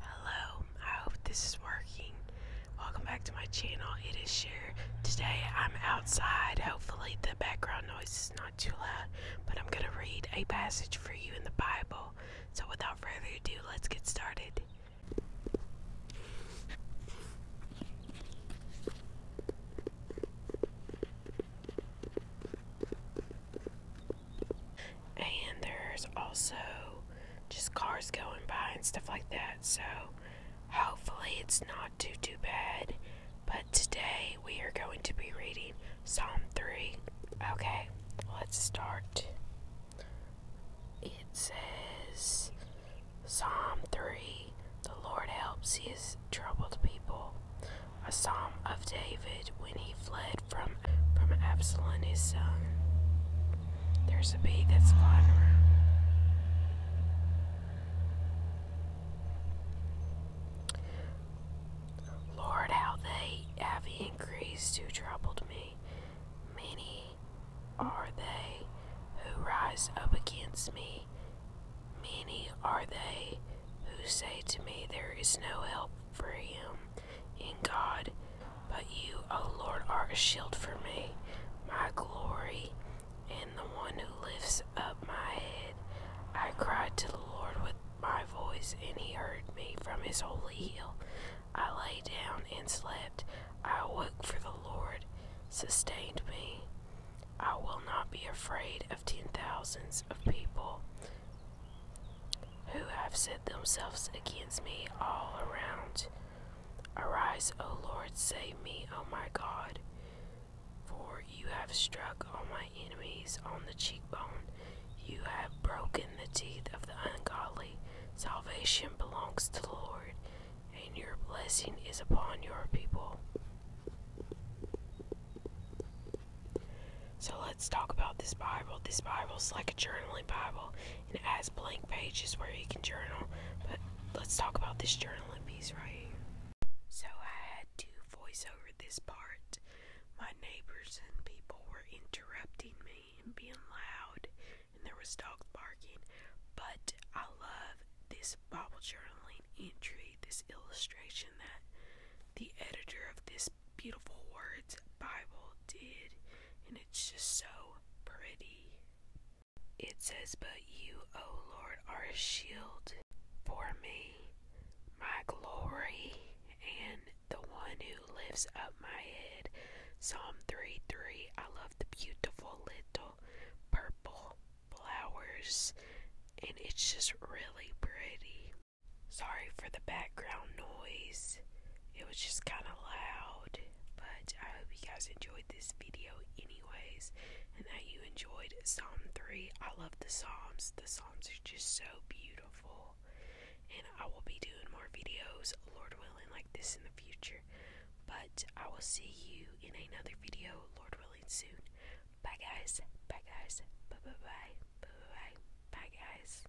Hello, I hope this is working. Welcome back to my channel. It is Share. Today I'm outside. Hopefully, the background noise is not too loud, but I'm going to read a passage for you in the Bible. So, without further ado, let's get started. And there's also just cars going by and stuff like that. So hopefully it's not too too bad. But today we are going to be reading Psalm 3. Okay, let's start. It says Psalm 3 The Lord helps his troubled people. A psalm of David when he fled from from Absalom his son. There's a bee that's flying around. Lord, how they have increased who troubled me. Many are they who rise up against me. Many are they who say to me, There is no help for him in God. But you, O Lord, are a shield for me, my glory, and the one who lifts up my head. I cried to the Lord with my voice, and he heard me from his holy hill. I lay down and slept. I awoke for the Lord sustained me. I will not be afraid of ten thousands of people who have set themselves against me all around. Arise, O Lord, save me, O my God, for you have struck all my enemies on the cheekbone. You have broken the teeth of the ungodly. Salvation belongs to the Lord, and your blessing is upon your people. So let's talk about this Bible. This Bible is like a journaling Bible and it has blank pages where you can journal. But let's talk about this journaling piece right here. So I had to voice over this part. My neighbors and people were interrupting me and being loud, and there was dogs barking. But I love this Bible journaling entry, this illustration that the editor of this beautiful words Bible did, and it's just so pretty. It says, But you, O Lord, are a shield for me, my glory, and the one who lifts up my head. Psalm 3 3. I love the beautiful little purple flowers, and it's just really pretty. Sorry for the background noise. It was just kind of loud, but I hope you guys enjoyed this video anyways and that you enjoyed Psalm 3. I love the Psalms. The Psalms are just so beautiful. And I will be doing more videos, Lord willing, like this in the future. But I will see you in another video, Lord willing, soon. Bye guys. Bye guys. Bye bye bye. Bye bye. Bye, bye guys.